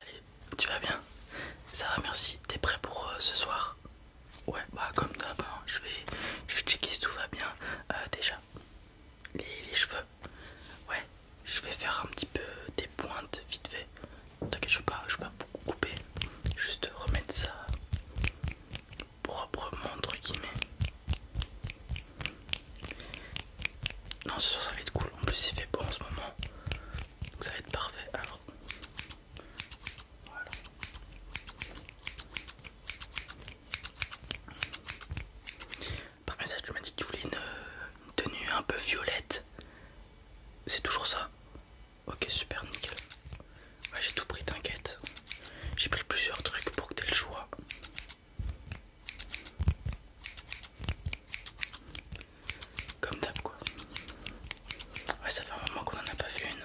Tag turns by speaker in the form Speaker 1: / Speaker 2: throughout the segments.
Speaker 1: Allez, tu vas bien Ça va, merci. T'es prêt pour euh, ce soir Ouais, bah comme d'hab, hein. je, vais, je checker si tout va bien. Euh, déjà, les, cheveux. Ouais, je vais faire un petit peu des pointes vite fait. T'inquiète, je ne vais pas beaucoup couper. Juste remettre ça proprement, entre guillemets. Non, c'est soir ça va être cool. En plus, il fait beau en ce moment. Donc, ça va être parfait. Alors, Par message, tu m'as dit que tu voulais une, tenue un peu violette. C'est toujours ça Ok, super, nickel. j'ai tout pris, t'inquiète. J'ai pris plusieurs trucs pour que t'aies le choix. Comme d'hab quoi. Ouais, ça fait un moment qu'on en a pas vu une.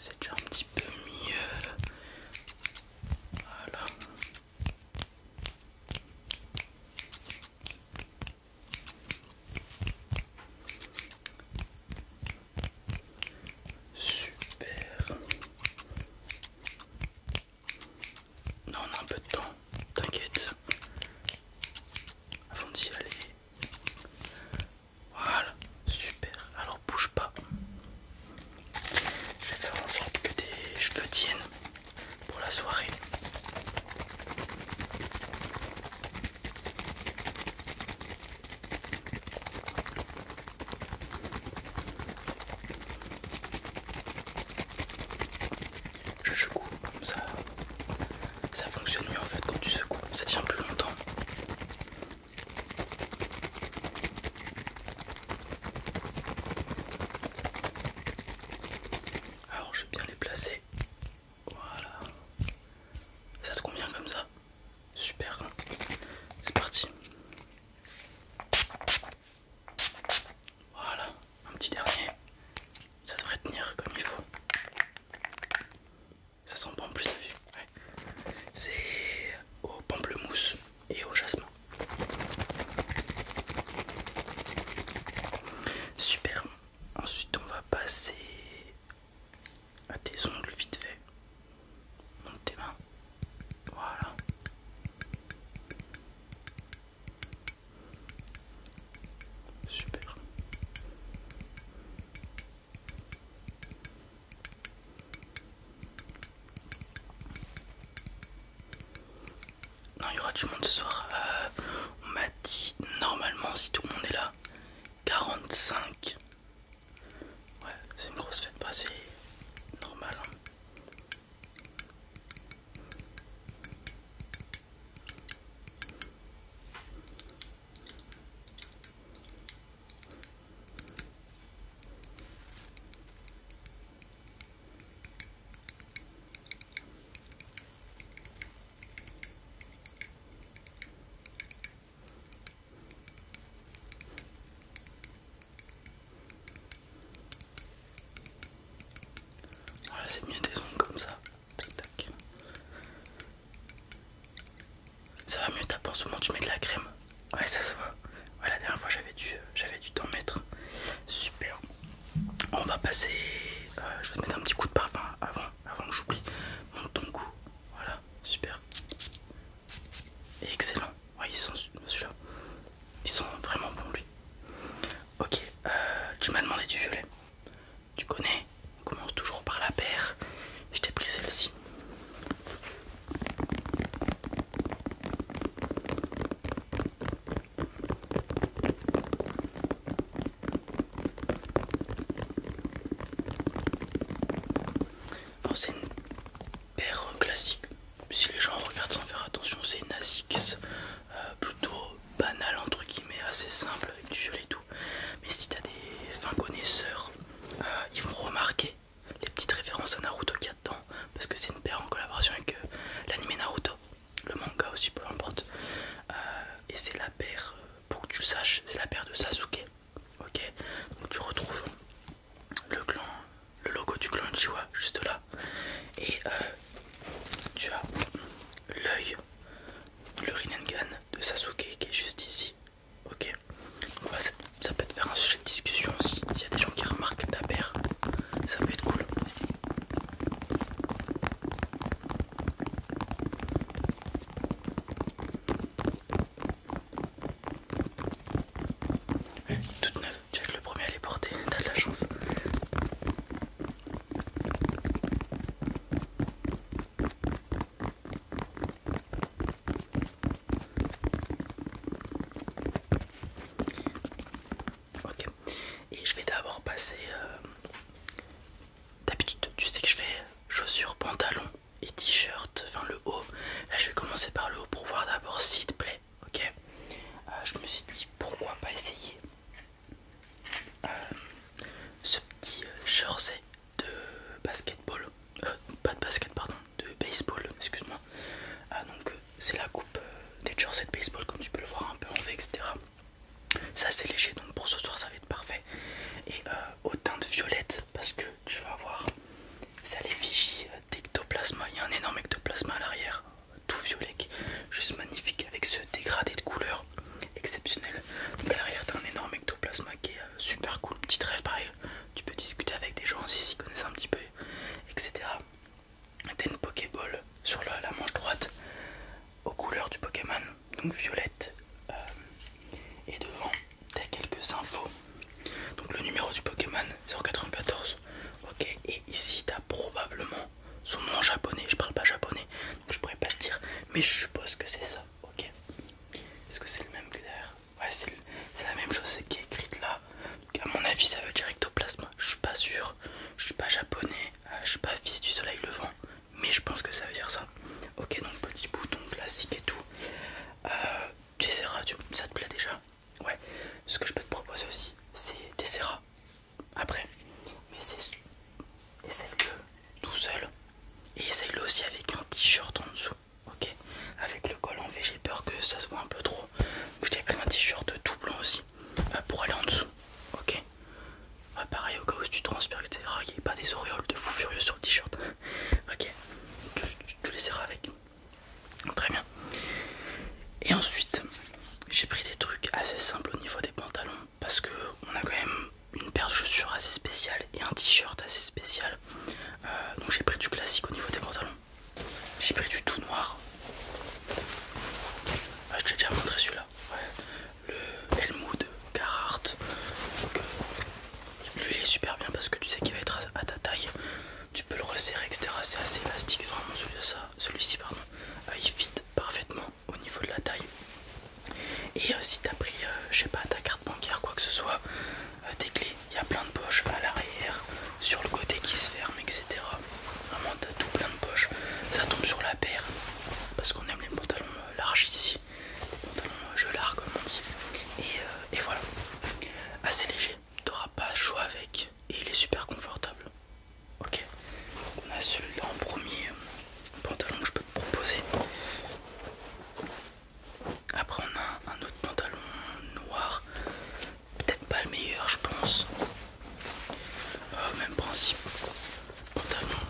Speaker 1: C'est déjà un petit peu mieux. Voilà. Super. Non, on a un peu de temps, t'inquiète. Avant d'y aller. Voilà, super. Alors bouge pas. Je vais faire en sorte que tes cheveux tiennent pour la soirée. Je secoue comme ça. Ça fonctionne mieux en fait quand tu secoues, ça tient plus longtemps. Alors je vais bien les placer. Voilà. Ça te convient comme ça Super. C'est parti. Voilà, un petit dernier. Ça devrait tenir comme il faut. Ça sent pas en plus, la vue C'est au pamplemousse et au jasmin. Super. Ensuite, on va passer à tes ongles vite fait. Monte tes mains. Voilà. Super. Non, il y aura du monde ce soir. Euh, on m'a dit normalement, si tout le monde est là, 45. Ouais, c'est une grosse fête, passée bah, c'est normal. Hein c'est mieux des ondes comme ça. Tac, Ça va mieux taper ce moment, tu mets de la crème. Ouais, ça se voit. la dernière fois j'avais dû, j'avais du t'en mettre. Super. On va passer. Euh, je vais te mettre un petit coup de parfum avant, avant que j'oublie. Monte ton cou. Voilà, super. Et excellent. Ouais, ils sont celui-là. Ils sont vraiment bons lui. Ok, euh, tu m'as demandé du violet. Tu connais, on commence toujours par la paire. Je t'ai pris celle-ci c'est une paire euh, classique, si les gens regardent sans faire attention, c'est une ASICS euh, plutôt banal entre guillemets, assez simple avec du gel et tout. Mais si t'as des fins connaisseurs, euh, ils vont remarquer les petites références à Naruto qu'il y a dedans, parce que c'est une paire en collaboration avec euh, l'anime Naruto, le manga aussi, peu importe. Euh, et c'est la paire, euh, pour que tu saches, c'est la paire de Sasuke. Ok, donc tu retrouves le clan, le logo du clan Chiwa juste là, et tu as l'œil, le Rinnegan de Sasuke qui est juste ici, Ok, bah, ça, peut être faire un sujet de discussion aussi. S'il y a des gens qui remarquent ta paire, ça peut être cool. Eh, toute neuve, tu vas le premier à les porter, t'as de la chance. Ok, et je vais d'abord passer. Euh, d'habitude, tu sais que je fais chaussures, pantalons et t-shirt, enfin le haut. Là, je vais commencer par le haut pour voir d'abord s'il te plaît. Ok, euh, je me suis dit pourquoi pas essayer euh, ce petit jersey de basketball, euh, pas de basket, pardon, de baseball, excuse-moi. Ah, donc, euh, c'est la coupe euh, des jersey de baseball, comme tu peux le voir un peu en V, etc. Ça, c'est léger, donc pour ce soir, ça va être parfait. Et au teint de violette parce que tu vas voir, ça l'effigie d'ectoplasma. Il y a un énorme ectoplasma à l'arrière, tout violet, juste magnifique, avec ce dégradé de couleur exceptionnel. Donc, à l'arrière, t'as un énorme ectoplasma qui est super cool. petit rêve, pareil, tu peux discuter avec des gens s'ils ils connaissent un petit peu, etc. T'as une Pokéball sur la, manche droite aux couleurs du Pokémon, donc violette. Euh, et devant, t'as quelques infos. Donc le numéro du Pokémon 094. Ok, et ici t'as probablement son nom japonais. Je parle pas japonais, donc je pourrais pas le dire, mais je suppose que c'est ça. Ok. Est-ce que c'est le même que Ouais, c'est la même chose qui est écrite là. Donc, à mon avis, ça veut dire Ectoplasma Je suis pas sûr. Je suis pas japonais. Euh, je suis pas fils du soleil levant. Mais je pense que ça veut dire ça. Ok, donc petit bouton classique et tout. Euh, tu Ça te plaît déjà Ouais. Ce que je peux te proposer aussi, c'est Tessera après. Mais c'est essaye-le tout seul. Et essaye-le aussi avec un t-shirt en dessous, ok Avec le col en V, j'ai peur que ça se voit un peu trop. Donc je t'ai pris un t-shirt tout blanc aussi euh, pour aller en dessous, ok ah, Pareil, au cas où tu transpires, Il n'y pas des auréoles de fou furieux sur le t-shirt, ok tu, les avec. Très bien. Et ensuite, j'ai pris des trucs assez simples au niveau des pantalons parce que on a quand même une paire de chaussures assez spéciale et un t-shirt assez spécial. Euh, donc j'ai pris du classique au niveau des pantalons. J'ai pris du tout noir. Ah, je t'ai déjà montré celui-là. Le Helmut Carhartt. Euh, lui il est super bien parce que tu sais qu'il va être à ta taille. Tu peux le resserrer, etc. C'est assez élastique. Vraiment celui-ci, celui pardon. Euh, il fit parfaitement au niveau de la taille. Et aussi euh, si t'as pris, euh, je sais pas, ta carte bancaire, quoi que ce soit, euh, tes clés, il y a plein de poches à l'arrière, sur le côté qui se ferme, etc. Vraiment, t'as tout plein de poches. Ça tombe sur la paire, parce qu'on aime les pantalons larges ici, les pantalons gelards comme on dit. Et, voilà, assez léger, t'auras pas choix avec, et il est super confortable. Ok, on a celui-là en premier pantalon je peux te proposer. Après on a un autre pantalon noir, peut-être pas le meilleur je pense. Euh, même principe, pantalon,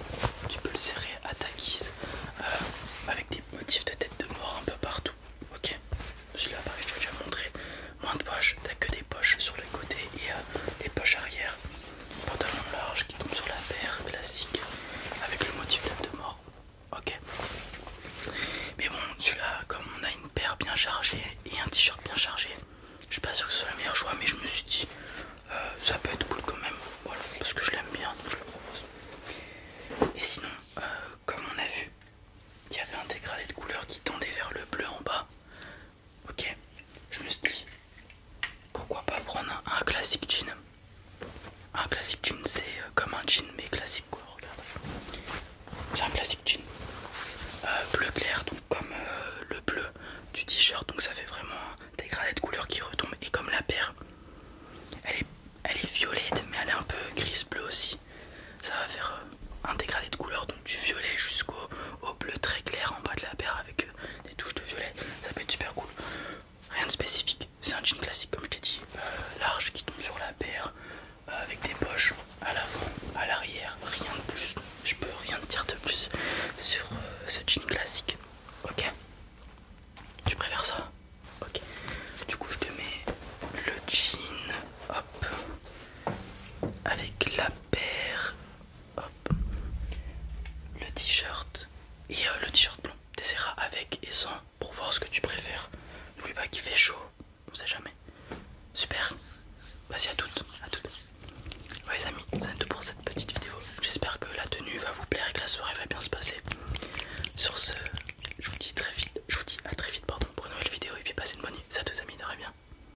Speaker 1: tu peux le serrer à ta guise, euh, avec des motifs de tête de mort un peu partout. Ok, celui-là pareil je t'ai déjà montré. Moins de poches, t'as que des poches sur les côtés et euh, des les poches arrière pantalon large qui tombe sur la paire classique avec le motif date de mort. Ok. Mais bon, celui-là, comme on a une paire bien chargée et un t-shirt bien chargé, je suis pas sûr que ce soit le meilleur choix, mais je me suis dit, euh, ça peut être cool quand même. Voilà, parce que je l'aime bien, donc je le propose. Et sinon, euh, comme on a vu, il y avait un dégradé de couleur qui tendait vers le bleu en bas, Ok, je me suis dit pourquoi pas prendre un, classique jean. Un classique jean, c'est euh, comme un jean mais classique quoi. c'est un classique jean euh, bleu clair, donc comme euh, le bleu du t-shirt, donc ça fait vraiment un dégradé de couleur qui retombe. Et comme la paire, elle est, violette mais elle est un peu grise bleu aussi. Ça va faire un dégradé de couleur du violet jusqu'au bleu très clair en bas de la paire avec euh, des touches de violet. Ça peut être super cool. Rien de spécifique, c'est un jean classique comme je t'ai dit, euh, large qui tombe sur la paire, euh, avec des poches à l'avant, à l'arrière, rien de plus. Je peux rien dire de plus sur ce jean classique. Ok Tu préfères ça Ok. Du coup, je te mets le jean, hop, avec la paire le t-shirt et euh, le t-shirt blanc. T'essaieras avec et sans pour voir ce que tu préfères. N'oublie pas qu'il fait chaud, on sait jamais. Super, vas-y à toutes, à toutes. Ouais les amis, c'est tout pour cette petite vidéo. J'espère que la tenue va vous plaire et que la soirée va bien se passer. Sur ce, je vous dis très vite, je vous dis à très vite pardon pour une nouvelle vidéo et puis passez une bonne nuit. Ça tous amis, très bien